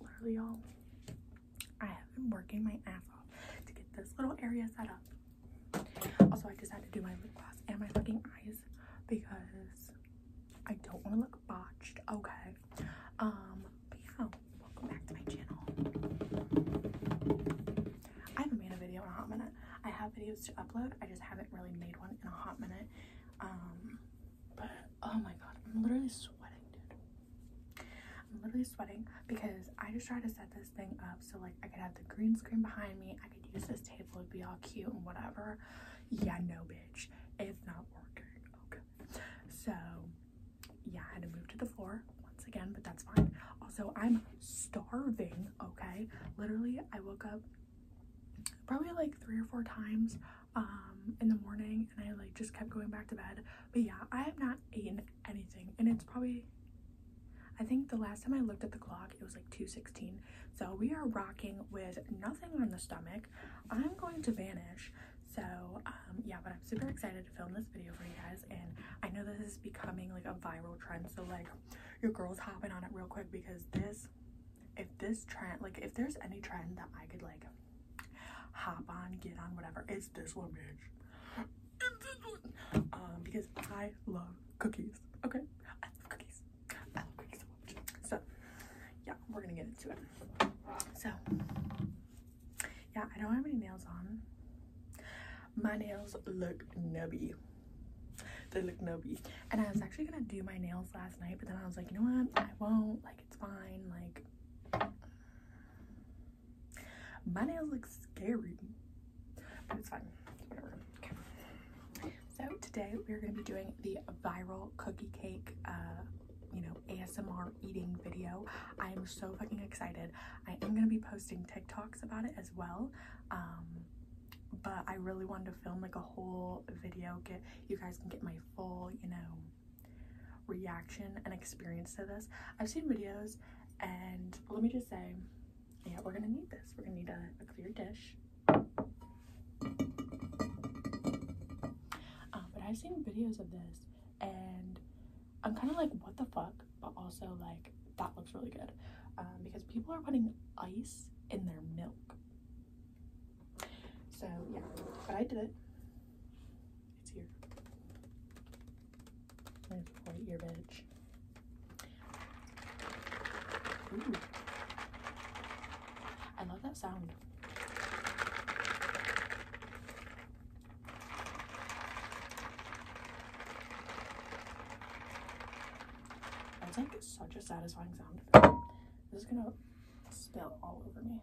Literally, all I have been working my ass off to get this little area set up. Also, I decided to do my lip gloss and my fucking eyes because I don't want to look botched. Okay. Um, but yeah, welcome back to my channel. I haven't made a video in a hot minute. I have videos to upload. I just haven't really made one in a hot minute. Um, but oh my god, I'm literally sweating, dude. I'm literally sweating because I just tried to set this thing up so like I could have the green screen behind me. I could use this table. It'd be all cute and whatever. Yeah, no, bitch. It's not working. Okay. So yeah, I had to move to the floor once again, but that's fine. Also, I'm starving, okay? Literally, I woke up probably like three or four times um, in the morning and I like just kept going back to bed. But yeah, I have not eaten anything and it's probably, I think the last time I looked at the clock, it was like 2.16. So we are rocking with nothing on the stomach. I'm going to vanish. So um, yeah, but I'm super excited to film this video for you guys and I know this is becoming like a viral trend so like your girls hopping on it real quick because this if this trend like if there's any trend that I could like hop on get on whatever it's this one bitch it's this one um, because I love cookies okay I love cookies I love cookies so much so yeah we're gonna get into it so yeah I don't have any nails on my nails look nubby they look nubby and i was actually gonna do my nails last night but then i was like you know what i won't like it's fine like my nails look scary but it's fine so today we're gonna be doing the viral cookie cake uh, you know asmr eating video i am so fucking excited I am going to be posting TikToks about it as well. Um, but I really wanted to film like a whole video. Get you guys can get my full, you know, reaction and experience to this. I've seen videos, and let me just say, yeah, we're gonna need this. We're gonna need a, clear dish. Um, but I've seen videos of this, and I'm kind of like, what the fuck? But also, like, that looks really good um, because people are putting ice in their milk. So, yeah, but I did it. It's here. your bitch. I love that sound. I think it's such a satisfying sound. This is gonna spill all over me.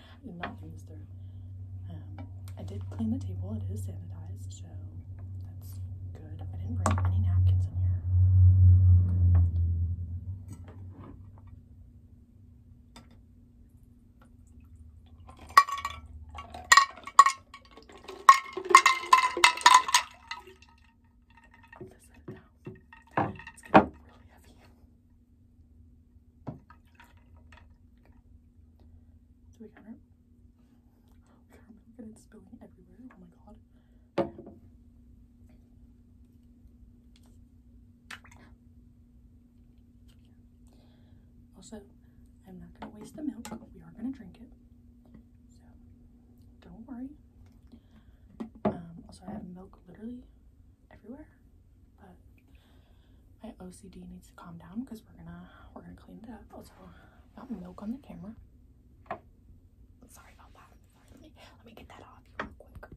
not think um, I did clean the table. It is sanitized, so that's good. I didn't bring any napkins in here. This it now. It's so we kind of, we kind of look at it spilling everywhere. Oh my god. Also, I'm not gonna waste the milk. We are gonna drink it. So don't worry. Um, also I have milk literally everywhere, but my OCD needs to calm down because we're gonna we're gonna clean it up. Also, got milk on the camera. Sorry about that. let me get that off quick.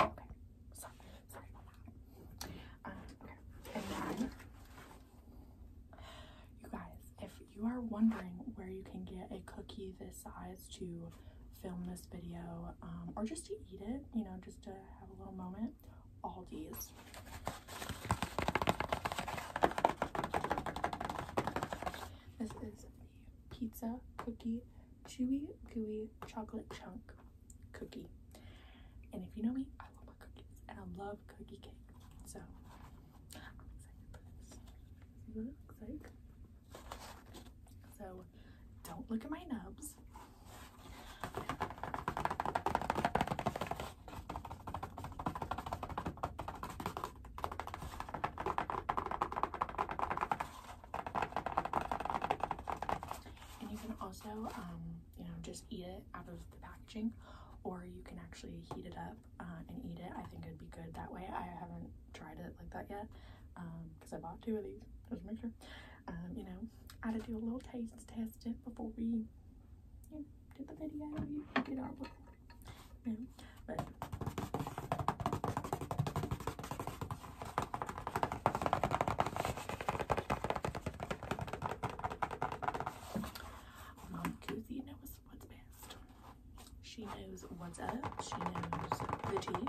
Okay. Sorry, sorry about that. Um, okay. you guys, if you are wondering where you can get a cookie this size to film this video, um, or just to eat it, you know, just to have a little moment it. Aldi's. This is the pizza cookie chewy gooey chocolate chunk cookie. And if you know me, I love my cookies and I love cookie cake. So So don't look at my nubs. And you can also, um, you know, just eat it out of the packaging, or you can actually heat it up uh, and eat it. I think it'd be good that way. I haven't tried it like that yet because um, I bought two of these just to make sure. Um, you know, I had to do a little taste test it before we you did the video. You did but Mom Cousy knows what's best. She knows what's up. She knows the tea.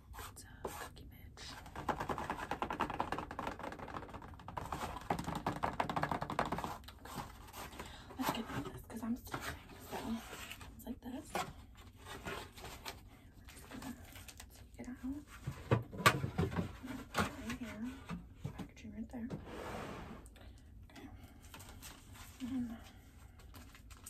It's a cookie bitch. Let's get rid I'm starving. So it's like this. Take it out. Right here. Packaging right there. Okay.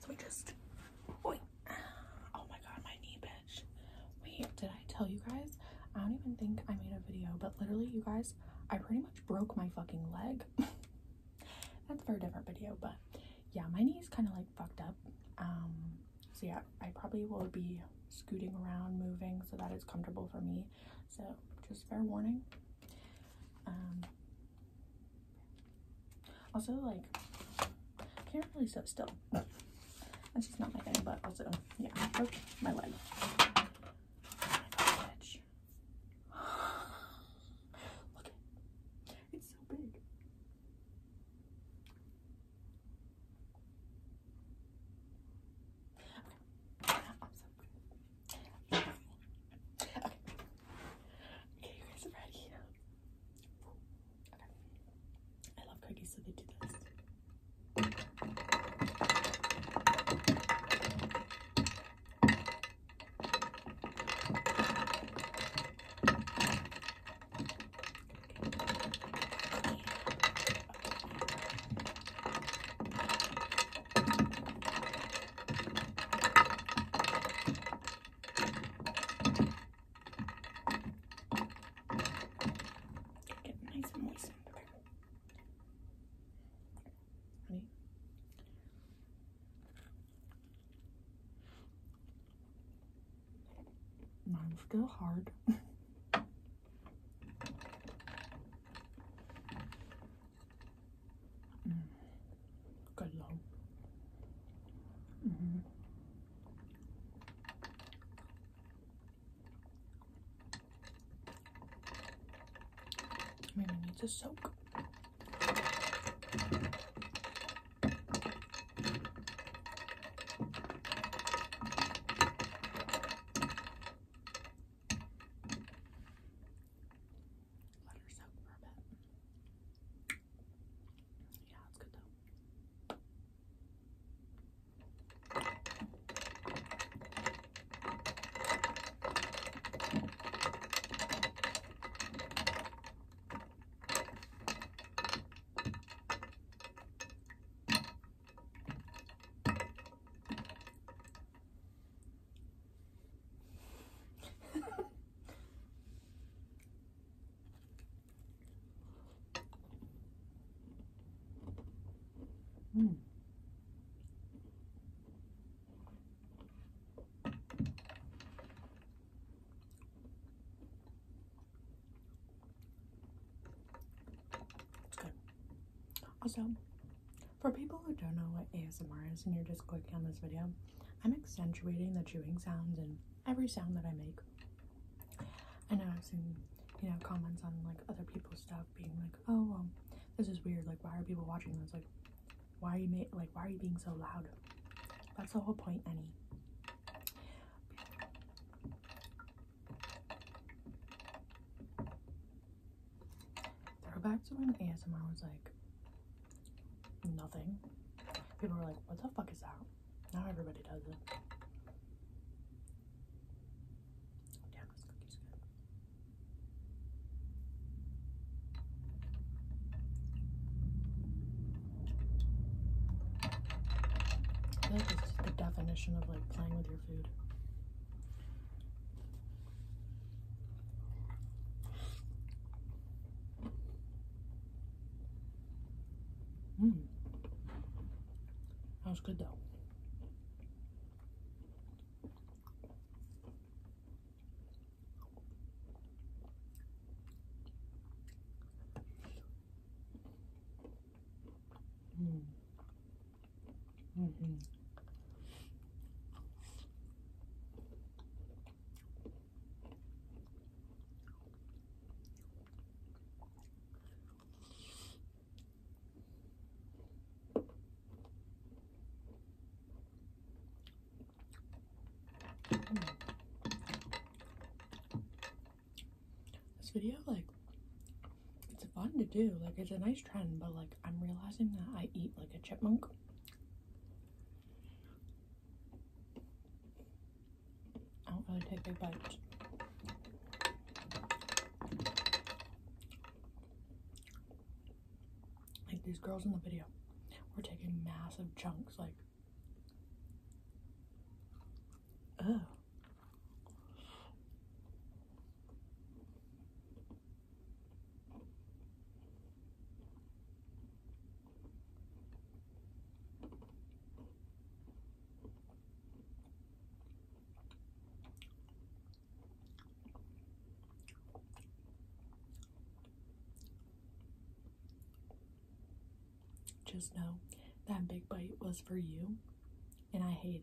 So we just, wait. oh my god, my knee, bitch. Wait, did I tell you guys? I don't even think I made a video, but literally, you guys, I pretty much broke my fucking leg. That's for a different video, but yeah, my knee is kind of like fucked up. Um, so yeah, I probably will be scooting around, moving so that it's comfortable for me. So just fair warning, um, also, like, can't really sit still. That's just not my thing, but also, yeah, oh, my leg. Look It's so big. Okay. Okay, you guys are ready. I love cookies, so they do this. Okay. Get nice and moist. Okay. Ready? Mine's still hard. Mm. Good low. Mm -hmm. Maybe need to soak. Let her soak for a bit. Yeah, it's good though mm. It's good. Also, for people who don't know what ASMR is and you're just clicking on this video, I'm accentuating the chewing sounds and every sound that I make. I know I've seen, you know, comments on like other people's stuff being like, oh, this is weird. Like, why are people watching this? Like, why are you ma like, why are you being so loud? That's the whole point, Annie. Throwback to when ASMR was like nothing. People were like, what the fuck is that? Now everybody does it. Oh, cookie's good. I the definition of like playing with your food. Mm. That was good though. Mm. Mm -hmm. This video, like, it's fun to do. Like, it's a nice trend, but like, I'm realizing that I eat like a chipmunk. I don't really take big bites. Like these girls in the video we're taking massive chunks, like, oh. Just know that big bite was for you, and I hated it.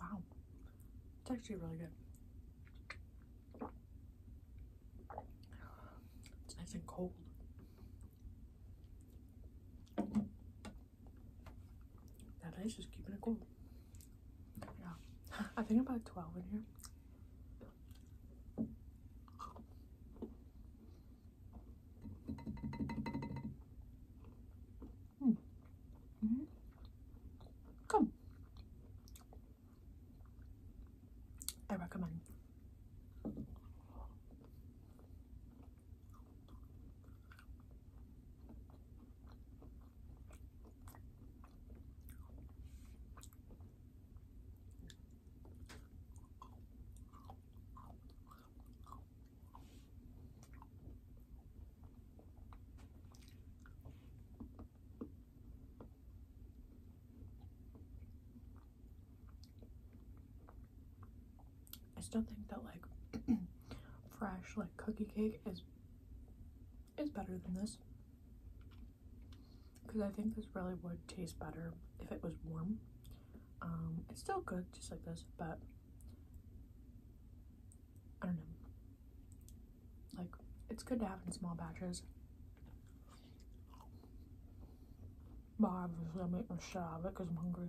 Wow, it's actually really good. It's nice and cold. That ice is keeping it cold. Yeah, I think about 12 in here. Mm. -hmm. Come. I recommend. I still think that like fresh like cookie cake is is better than this because I think this really would taste better if it was warm. Um, it's still good just like this, but I don't know. Like, it's good to have in small batches. But obviously, I'll make my shit of it because I'm hungry.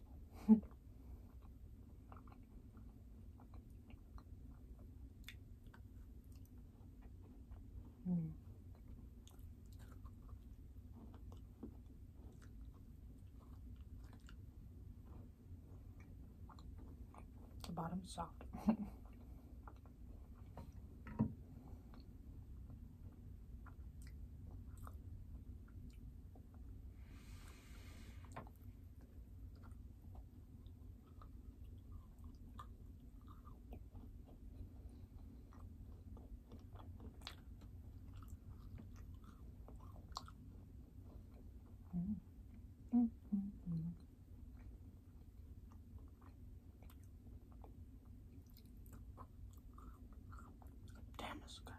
mm. The bottom's soft. Mm -hmm. Damn, it's good.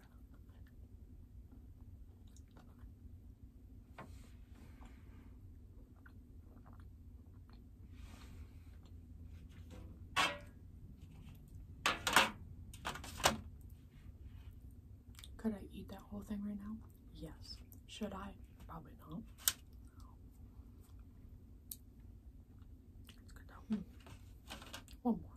Could I eat that whole thing right now? Yes. Should I? Probably not. Hmm. One more.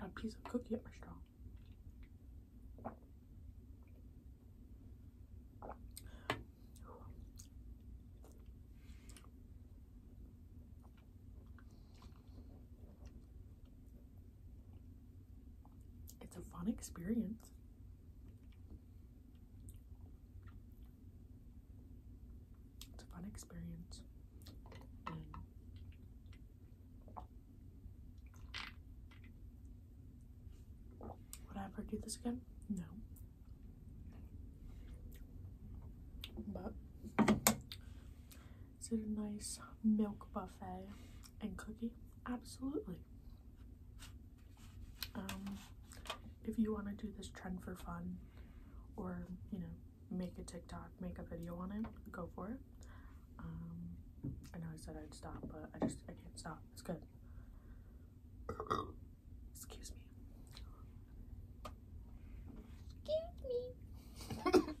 Got a piece of cookie at my straw. It's a fun experience. It's a fun experience. would I ever do this again? No. But is it a nice milk buffet and cookie? Absolutely. Um, if you want to do this trend for fun or, you know, make a TikTok, make a video on it, go for it. Um, I know I said I'd stop, but I just, I can't stop. It's good. Excuse me. Excuse me.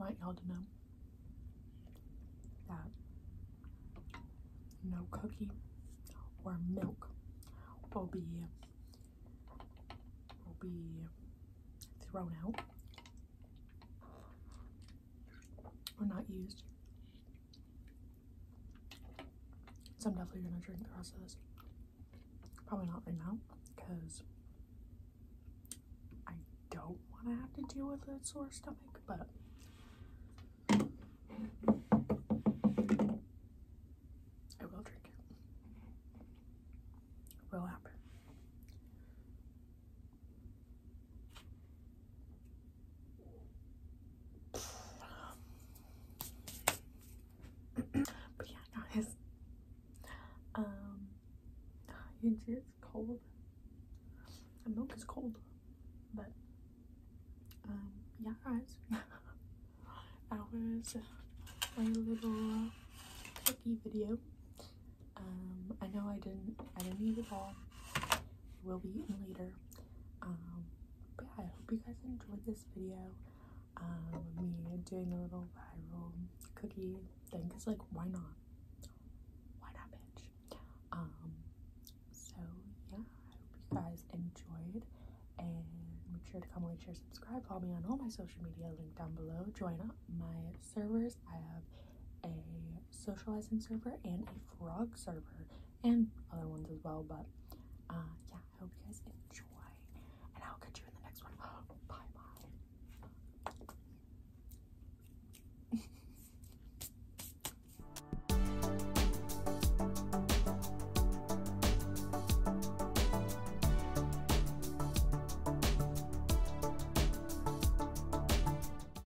I like y'all to know that no cookie or milk will be will be thrown out or not used so I'm definitely gonna drink the rest of this. Probably not right now, because I don't want to have to deal with a sore stomach, but I will drink it. It will happen but yeah, guys, um, you see it's cold. The milk is cold, but um, yeah, guys, that was my little cookie video. Um, I know I didn't, I didn't eat it all we will be eating later. Um, but yeah, I hope you guys enjoyed this video. Um, me doing a little viral cookie thing, cause like, why not? Why not, bitch? Um, so yeah, I hope you guys enjoyed, and make sure to comment, like, share, subscribe, follow me on all my social media, link down below. Join up my servers. I have a socializing server and a frog server and other ones as well. But uh, yeah, I hope you guys enjoy, and I'll catch you in the next one. bye.